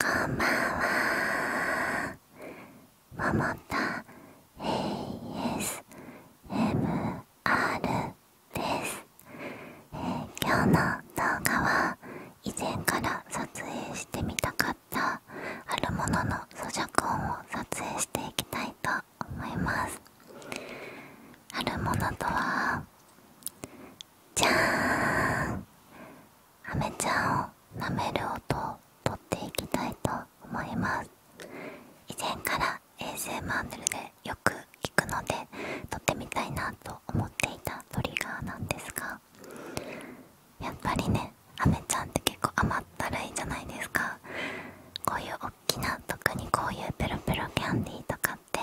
こんばんはももた ASMR です、今日の動画は以前から撮影してみたかったあるものの咀嚼音を撮影していきたいと思いますあるものとはじゃーんアメちゃんを舐める音をとっていきたいと思います以前から衛星マ s m ルでよく聞くので撮ってみたいなと思っていたトリガーなんですがやっぱりねアメちゃんって結構甘ったるいじゃないですかこういうおっきな特にこういうペロペロキャンディーとかって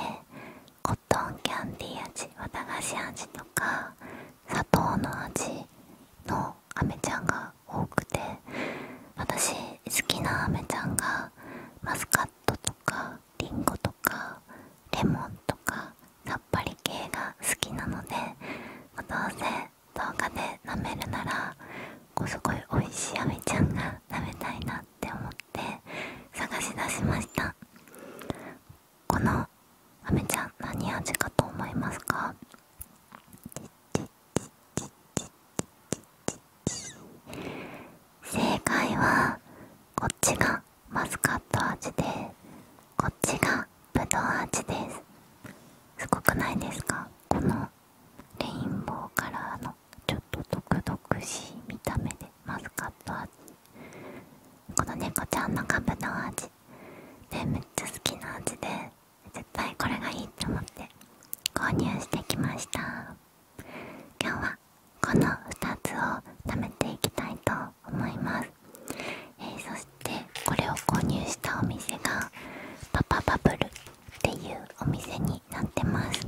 コットンキャンディー味綿菓子味とか砂糖の味のあめちゃんが多くて私好きなあめちゃんがマスカットとかリンゴとかレモンとかさっぱり系が好きなのでどうせ動画で舐めるならこうすごい美味しいあめちゃんが食べたいなって思って探し出しましたこのあめちゃん何味かと思いますか正解はこっちがマスカット味でこっちがぶどう味ですすごくないですかこのレインボーカラーのちょっと毒々しい見た目でマスカット味この猫ちゃんのカブの味でめっちゃ好きな味で絶対これがいいと思って購入してきました今日はこの2つを食べていきたいと思います、えそしてこれを購入したお店がパパバブルっていうお店になってます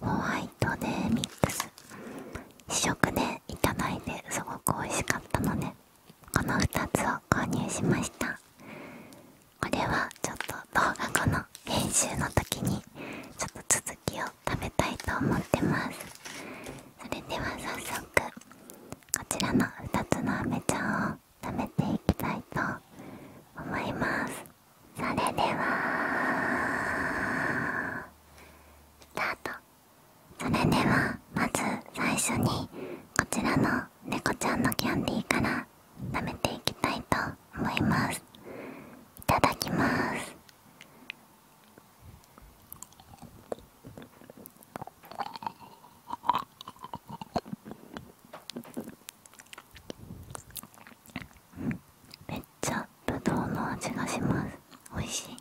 ホワイトデーミックス試食でいただいてすごく美味しかったのでこの2つを購入しましたこれはちょっと動画後の編集の時にちょっと続きを食べたいと思ってますそれでは早速こちらの2つのあめちゃんを食べていきたいと思いますそれではスタートそれではまず最初にこちらの猫ちゃんのキャンディーから舐めていきたいと思いますいただきますめっちゃぶどうの味がしますおいしい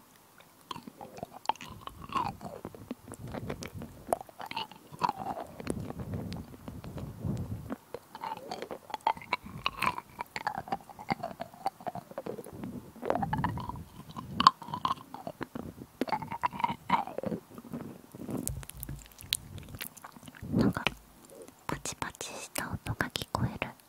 なんかパチパチした音が聞こえる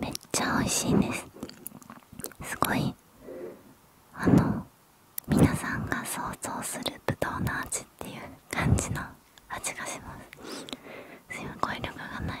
めっちゃ美味しいですすごいあの皆さんが想像するぶどうの味っていう感じの味がしますすいません声彙力がない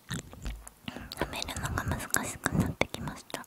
飲めるのが難しくなってきました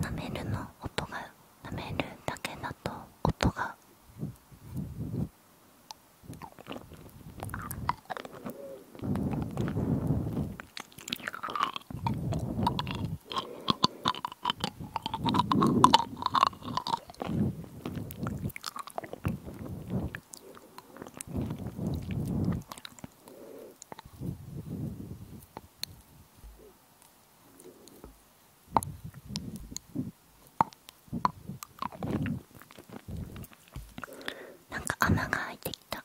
なめるの音がなめるだけだと音がなんか穴が開いてきた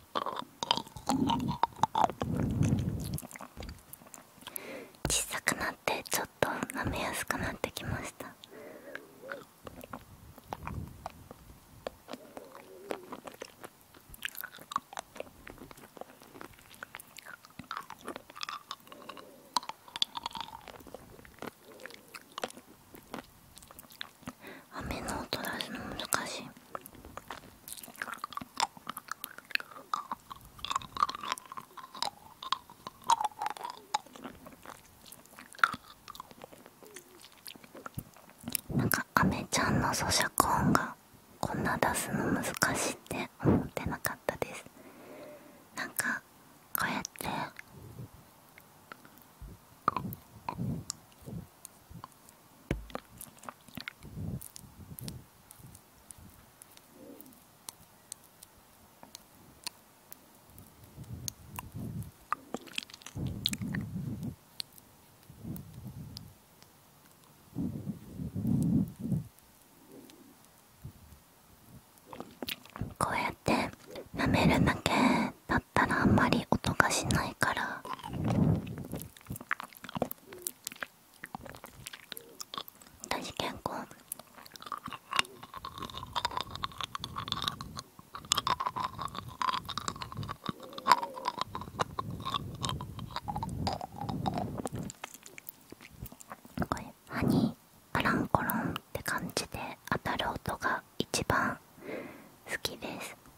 小さくなってちょっと舐めやすくなってきました雨の音出すの難しい。なんかあめちゃんの咀嚼音がこんな出すの難しいって思ってなかったですなんかこうやってこうやって舐めるだけだったらあんまり音がしないから私結構これ歯にカランコロンって感じで当たる音が一番好きです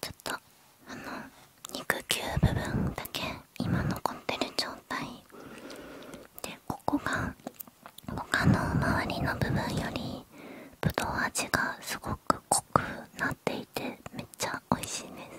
ちょっとあの肉球部分だけ今残ってる状態でここが他の周りの部分よりぶどう味がすごく。濃くなっていてめっちゃ美味しいです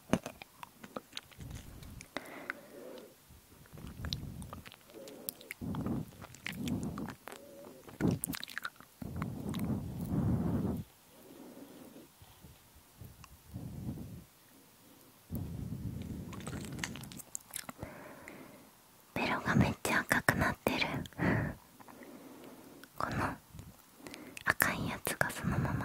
ベロがめっちゃ赤くなってるこの赤いやつがそのまま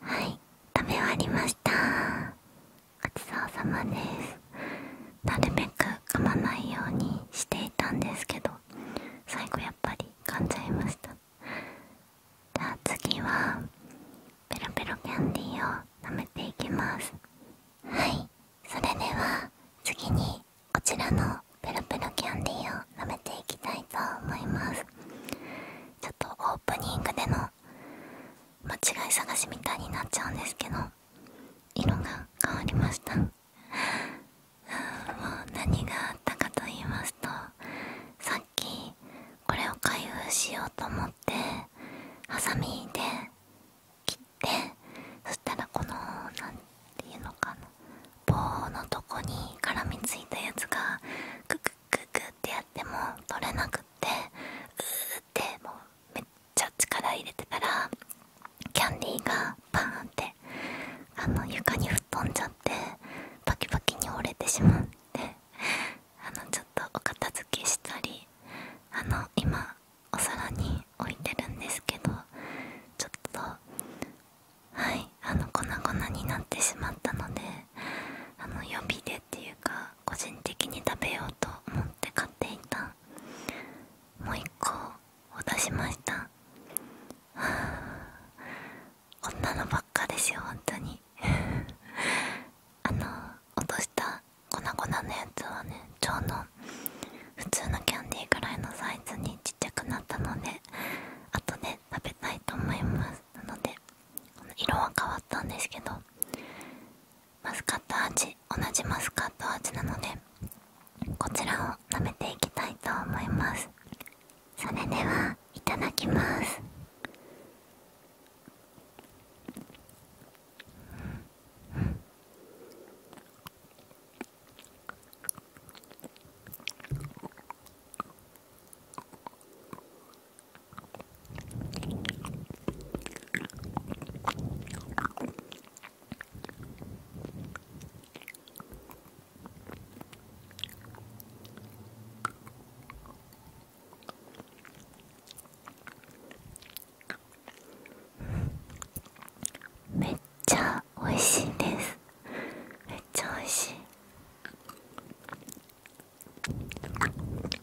はい食べ終わりましたごちそうさまですなるべく噛まないようにしていたんですけど最後やっぱり噛んじゃいましたじゃあ次はペロペロキャンディーを舐めていきますはいそれでは次にこちらのペロペロキャンディーを舐めていきたいと思いますちょっとオープニングでの間違い探しみたいになっちゃうんですけど色が変わりましたうん、もう何があったかと言いますとさっきこれを開封しようと思ってハサミで切ってそしたらこの何て言うのかな棒のとこに絡みついたやつがククククってやっても取れなくってうーっもめっちゃ力入れてたらキャンディーがパーンってあの床に吹っ飛んじゃってパキパキに折れてしまってあのちょっとお片付けしたりあの今お皿に置いてるんですけどちょっとはいあの粉々になってしまったのであの予備でっていうか個人的に食べようと思って買っていたもう1個を出しましたこんなのばっかですよ本当に あの落とした粉々のやつはねちょうど普通のキャンディーぐらいのサイズにちっちゃくなったので後で食べたいと思いますなので色は変わったんですけどマスカット味同じマスカット味なのでこちらを舐めていきたいと思いますそれではいただきますめっちゃ美味しいですめっちゃ美味しい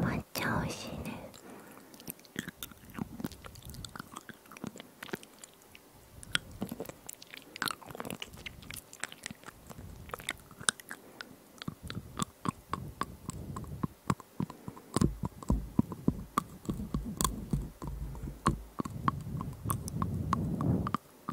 抹茶おいしいね。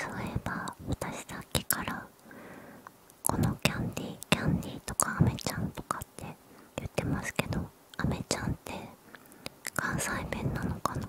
そういえば私さっきからこのキャンディーキャンディーとかアメちゃんとかって言ってますけどアメちゃんって関西弁なのかな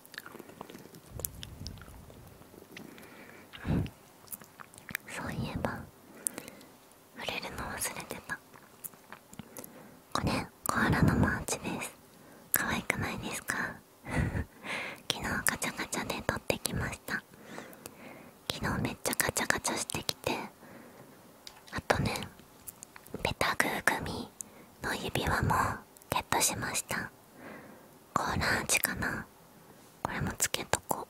そういえば触れるの忘れてたこれコアラのマーチです可愛くないですか 昨日ガチャガチャで撮ってきました昨日めっちゃガチャガチャしてきてあとねペタグーグミの指輪もゲットしましたコーラ味かなこれもつけとこ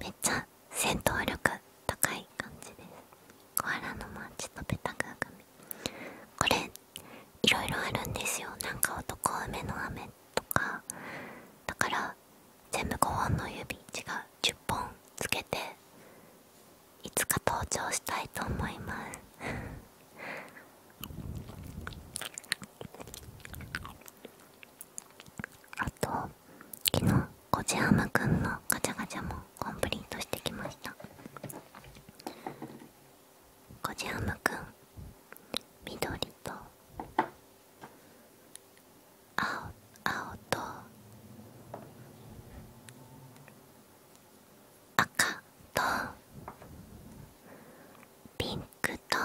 めっちゃ戦闘力高い感じですアラのマーチとペタグアガミこれいろいろあるんですよなんか男梅の雨とかだから全部5本の指違う10本つけていつか登場したいと思います あと昨日コジハムくんのガチャガチャもコンプリートしてきましたコジハムくん緑と青青と赤とピンクと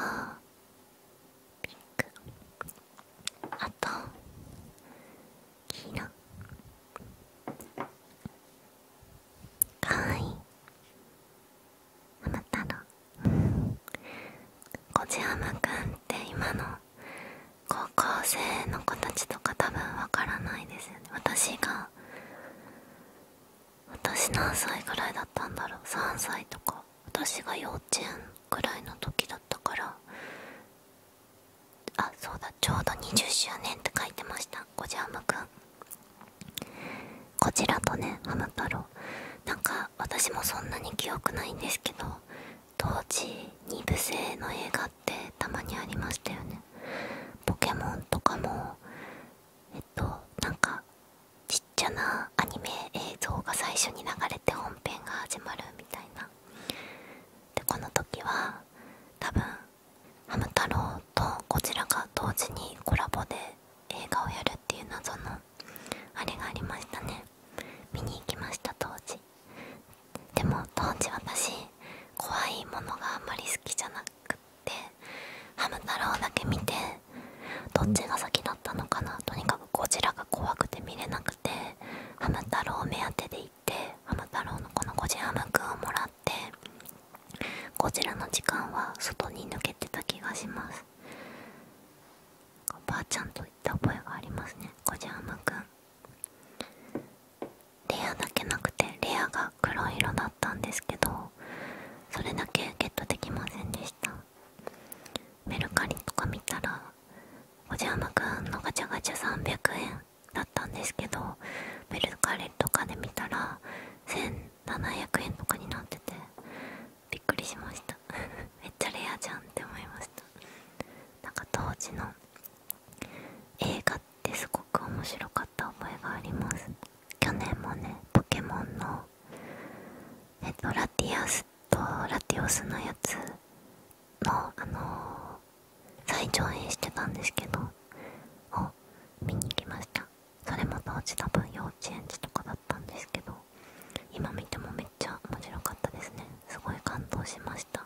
ピンクあと黄色かわいいあなたのごじはむくって今の高校生の子たとか多分わからないですよね私が私何歳ぐらいだったんだろう3歳とか私が幼稚園ぐらいの時だったからあそうだちょうど20周年って書いてましたこじはむくんこちらとねハム太郎なんか私もそんなに記憶ないんですけど当時2部制の映画ってたまにありましたよねポケモンとかもえっとなんかちっちゃなアニメ映像が最初に流れて本編が始まるみたいなでこの時は多分ハム太郎とこちらが当時にコラボで映画をやるっていう謎のあれがありましたね見に行きました当時でも当時私怖いものがあんまり好きじゃなくってハム太郎だけ見てどっちが先だったのかなとにかくゴジラが怖くて見れなくてハム太郎目当てで行ってハム太郎のこのゴジハムくんをもらってゴジラの時間は外に抜けてた気がしますおばあちゃんと行った覚えがありますねゴジハムくんレアだけなくてレアが黒色だったんですけどそれだけゲットできませんでしたメルカリとか見たらおじゃまくんのガチャガチャ300円だったんですけどメルカリとかで見たら1700円とかになっててびっくりしました めっちゃレアじゃんって思いましたなんか当時の映画ってすごく面白かった覚えがあります去年もねポケモンのえっラティアスとラティオスのやつのあのー、再上映してたんですけどを見に行きましたそれも当時多分幼稚園児とかだったんですけど今見てもめっちゃ面白かったですねすごい感動しました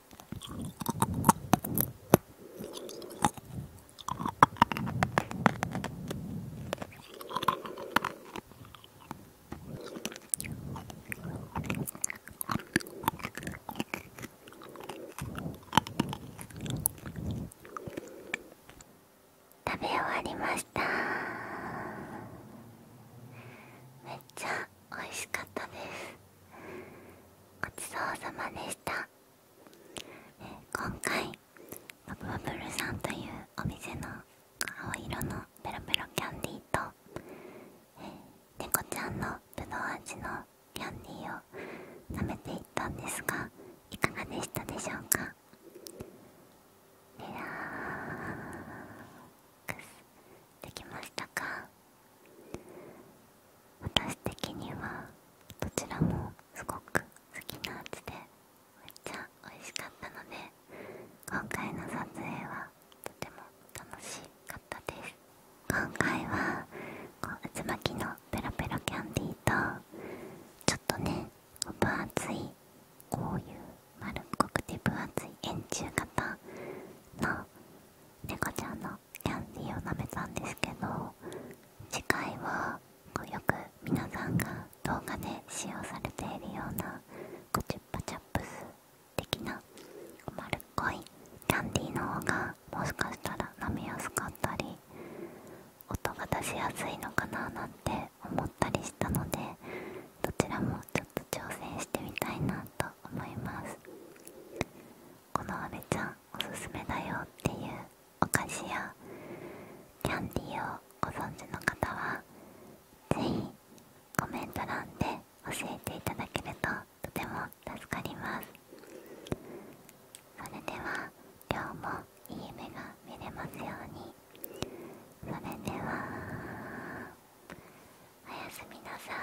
食べ終わりましためっちゃ美味しかったですごちそうさまでした今回バブバブルさんというお店の青色のペロペロキャンディーと猫ちゃんのぶどう味のキャンディーを食めていったんですがいかがでしたでしょうかできましたか私的にはどちらもすごく好きなやつでめっちゃ美味しかったので今回の撮影はとても楽しかったです今回はこう渦巻きのペロペロキャンディーとちょっとね分厚いこういう丸っこくて分厚い円柱型の猫ちゃんのキャンディーを舐めたんですけど次回はよく皆さんが動画で使用されているようなコチュッパチャップス的な丸っこいキャンディーの方がもしかしたら舐めやすかったり音が出しやすいのかななんて思ったりしたのでどちらもちょっと挑戦してみたいなと思いますこの阿部ちゃんおすすめだよっていうお菓子やキャンディーをご存知の方は是非コメント欄で教えていただけるととても助かりますそれでは今日もいい夢が見れますようにそれではおやすみなさい